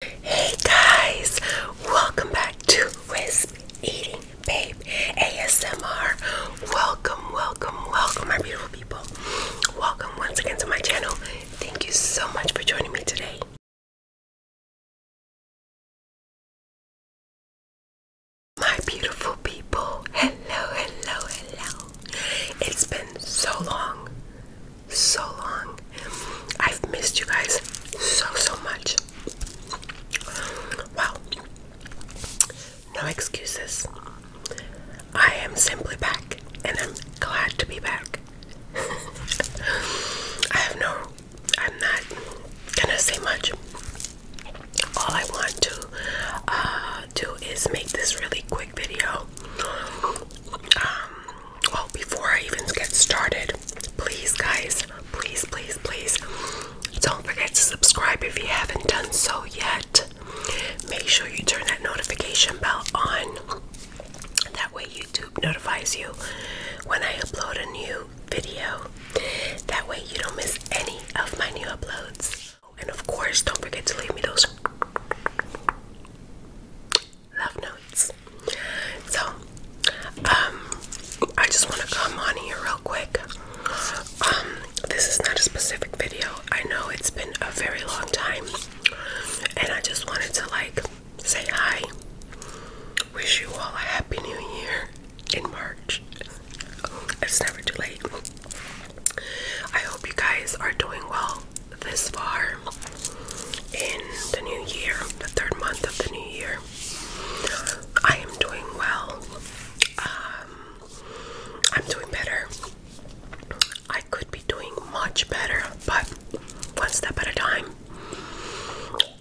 Hey guys, welcome back to Wisp Eating Babe ASMR. Welcome, welcome, welcome, my beautiful people. Welcome once again to my channel. Thank you so much for joining me today. My beautiful people, hello, hello, hello. It's been so long so long. I've missed you guys so, so much. Wow. No excuses. I am simply back and I'm glad to be back. I have no, I'm not gonna say much. All I want to uh, do is make this really quick video. Um, Oh, before I even get started, please, guys, please, please, please don't forget to subscribe if you haven't done so yet. Make sure you turn that notification bell on. That way, YouTube notifies you when I upload a new video. That way, you don't miss any of my new uploads. And of course, don't forget to leave me those love notes. So, um, I just want to come on here real quick. Um, this is not a specific video. I know it's been a very long time, and I just wanted to like say hi. Wish you all a happy new year in March. It's never too late. I hope you guys are doing well this far in the new year, the third month of the new year. I am doing well. Um, I'm doing better. I could be doing much better, but one step at a time.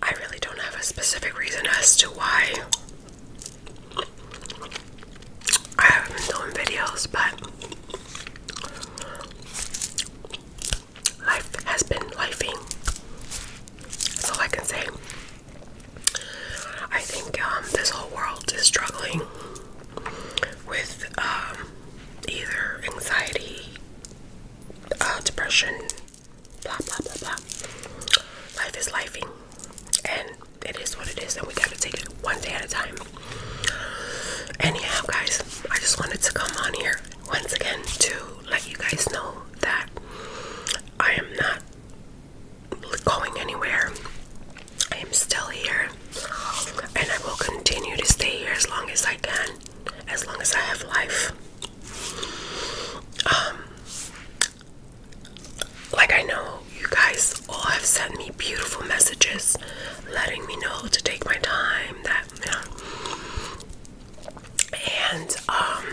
I really don't have a specific reason as to why I haven't been doing videos, but Life has been lifing. So I can say I think um, this whole world is struggling with um, either anxiety, uh, depression, blah blah blah blah. Life is lifing, and it is what it is, and we gotta take it one day at a time. Anyhow, guys, I just wanted to come on here once again to let you guys know that I am not going anywhere. I am still here and I will continue to stay here as long as I can, as long as I have life. Um, like I know you guys all have sent me beautiful messages letting me know to take my time that and um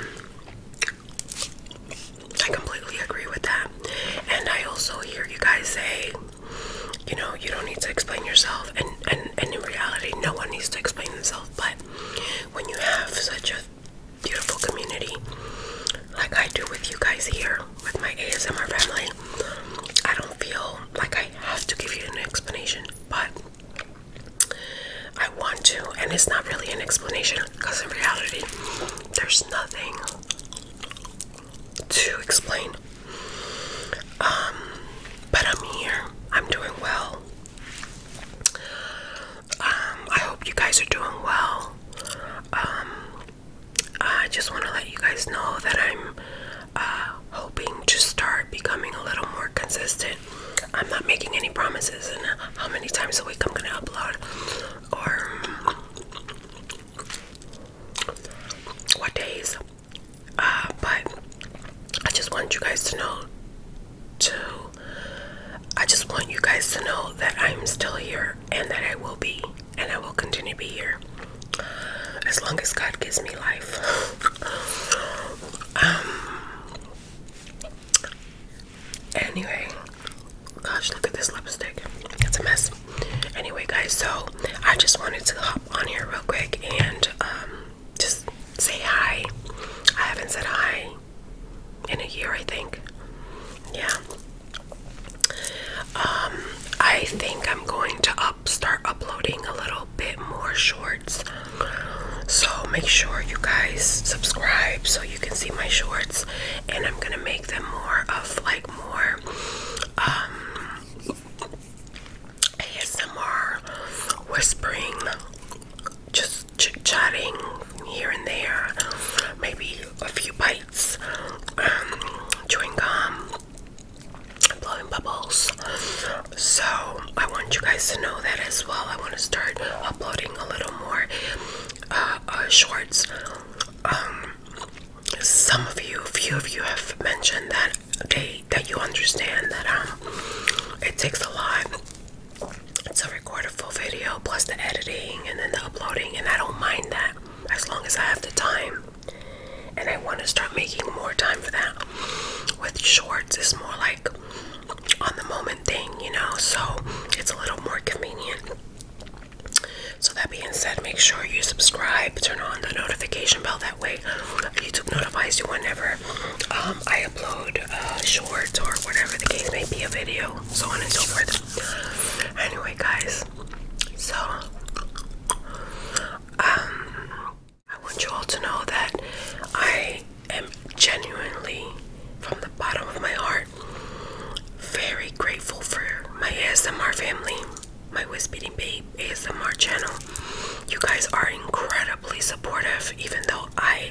I completely agree with that and I also hear you guys say you know you don't need to explain yourself and and, and in reality no one needs to explain himself. but when you have such a beautiful community like I do with you guys here with my ASMR family, I don't feel like I have to give you an explanation, but I want to, and it's not really an explanation because in reality, there's nothing to explain. Um, but I'm here, I'm doing well. Um, I hope you guys are doing well. Um, I just want to let you guys know that I'm uh, hoping to start becoming a little more consistent. I'm not making any promises and how many times a week I'm going to upload or what days. Uh, but I just want you guys to know to I just want you guys to know that I'm still here and that I will be and I will continue to be here as long as God gives me life. um, anyway, gosh, look at this lipstick. It's a mess. Anyway, guys, so I just wanted to hop on here real quick and um, just say hi. I haven't said hi in a year, I think. Yeah. Um, I think I'm going to up start uploading a little bit more shorts. So make sure you guys subscribe so you can see my shorts and I'm gonna make them more of like more um, ASMR whispering just ch chatting here and there maybe a few bites bites, um, blowing bubbles. So I want you guys to know that as well. I want to start uploading a little more uh, uh, shorts. Um, some of you, a few of you, have mentioned that they that you understand that um, it takes a lot to record a full video plus the editing and then the uploading, and I don't mind that as long as I have the time. And I want to start making more time for that. With shorts, it's more like on the moment thing, you know, so it's a little more convenient. So, that being said, make sure you subscribe, turn on the notification bell, that way YouTube notifies you whenever um, I upload uh, shorts or whatever the case may be a video, so on and so forth. Anyway, guys, so um, I want you all to know that I am genuinely, from the bottom of my heart, very grateful for my ASMR family, my Wisp Eating Babe ASMR channel. You guys are incredibly supportive, even though I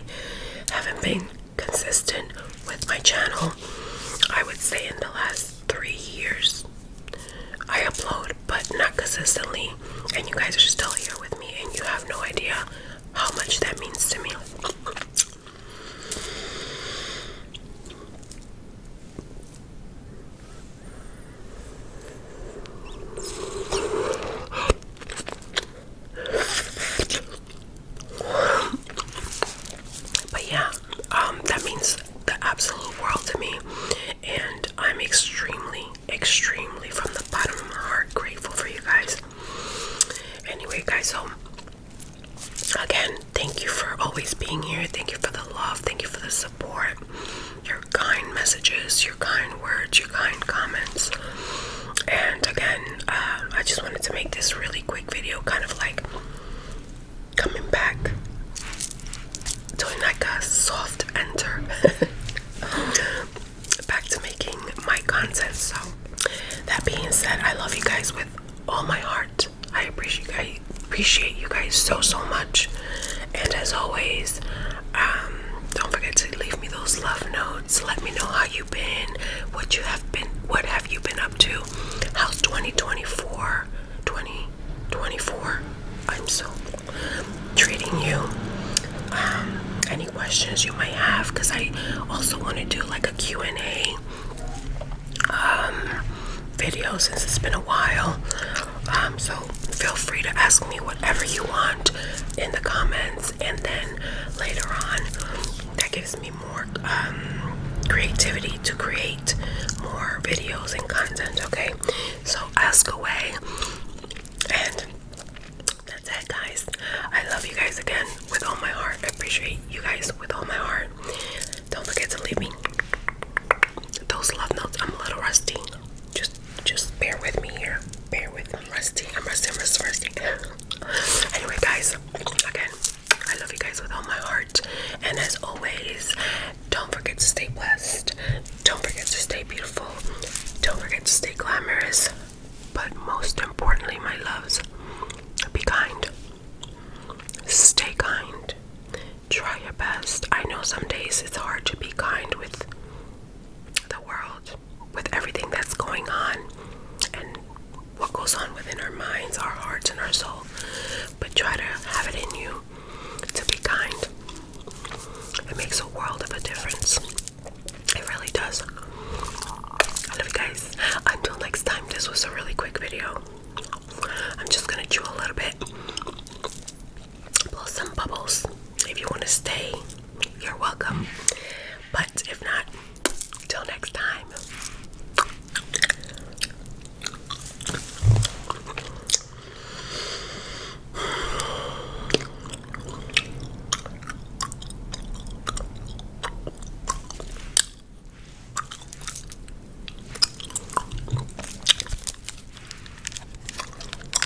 haven't been consistent with my channel. I would say in the last three years, I upload, but not consistently. And you guys are still here with me, and you have no idea how much that means to me. But yeah, um, that means the absolute world to me, and I'm extremely, extremely from the bottom of my heart grateful for you guys. Anyway, guys, so again, thank you for always being here. Thank you for the love. Thank you for the support. Your kind messages, your kind words, your kind comments and again um, i just wanted to make this really quick video kind of like coming back doing like a soft enter back to making my content so that being said i love you guys with all my heart i appreciate you guys so so much and as always um, don't forget to leave give me those love notes. Let me know how you've been, what you have been, what have you been up to? How's 2024? 2024. I'm so treating you. Um, any questions you might have? Because I also want to do like a Q&A um, video since it's been a while. Um, so feel free to ask me whatever you want in the comments, and then later on, that gives me more um, creativity to create more videos and content okay so ask away and that's it guys i love you guys again with all my heart i appreciate you guys with all my heart don't forget to leave me those love notes i'm a little rusty just just bear with me here bear with me i'm rusty i'm rusty i'm rusty. Anyway, guys, again, I love you guys with all my heart. And as always, don't forget to stay blessed. Don't forget to stay beautiful. Don't forget to stay glamorous. But most importantly, my loves, be kind. Stay kind. Try your best. I know some days it's hard to be kind with the world with everything that's going on and what goes on within our minds, our hearts, and our soul. But try to have it in you to be kind. It makes a world of a difference. It really does. I love you guys. Until next time, this was a really quick video. I'm just gonna chew a little bit, blow some bubbles if you want to stay, you're welcome. But if not, till next time.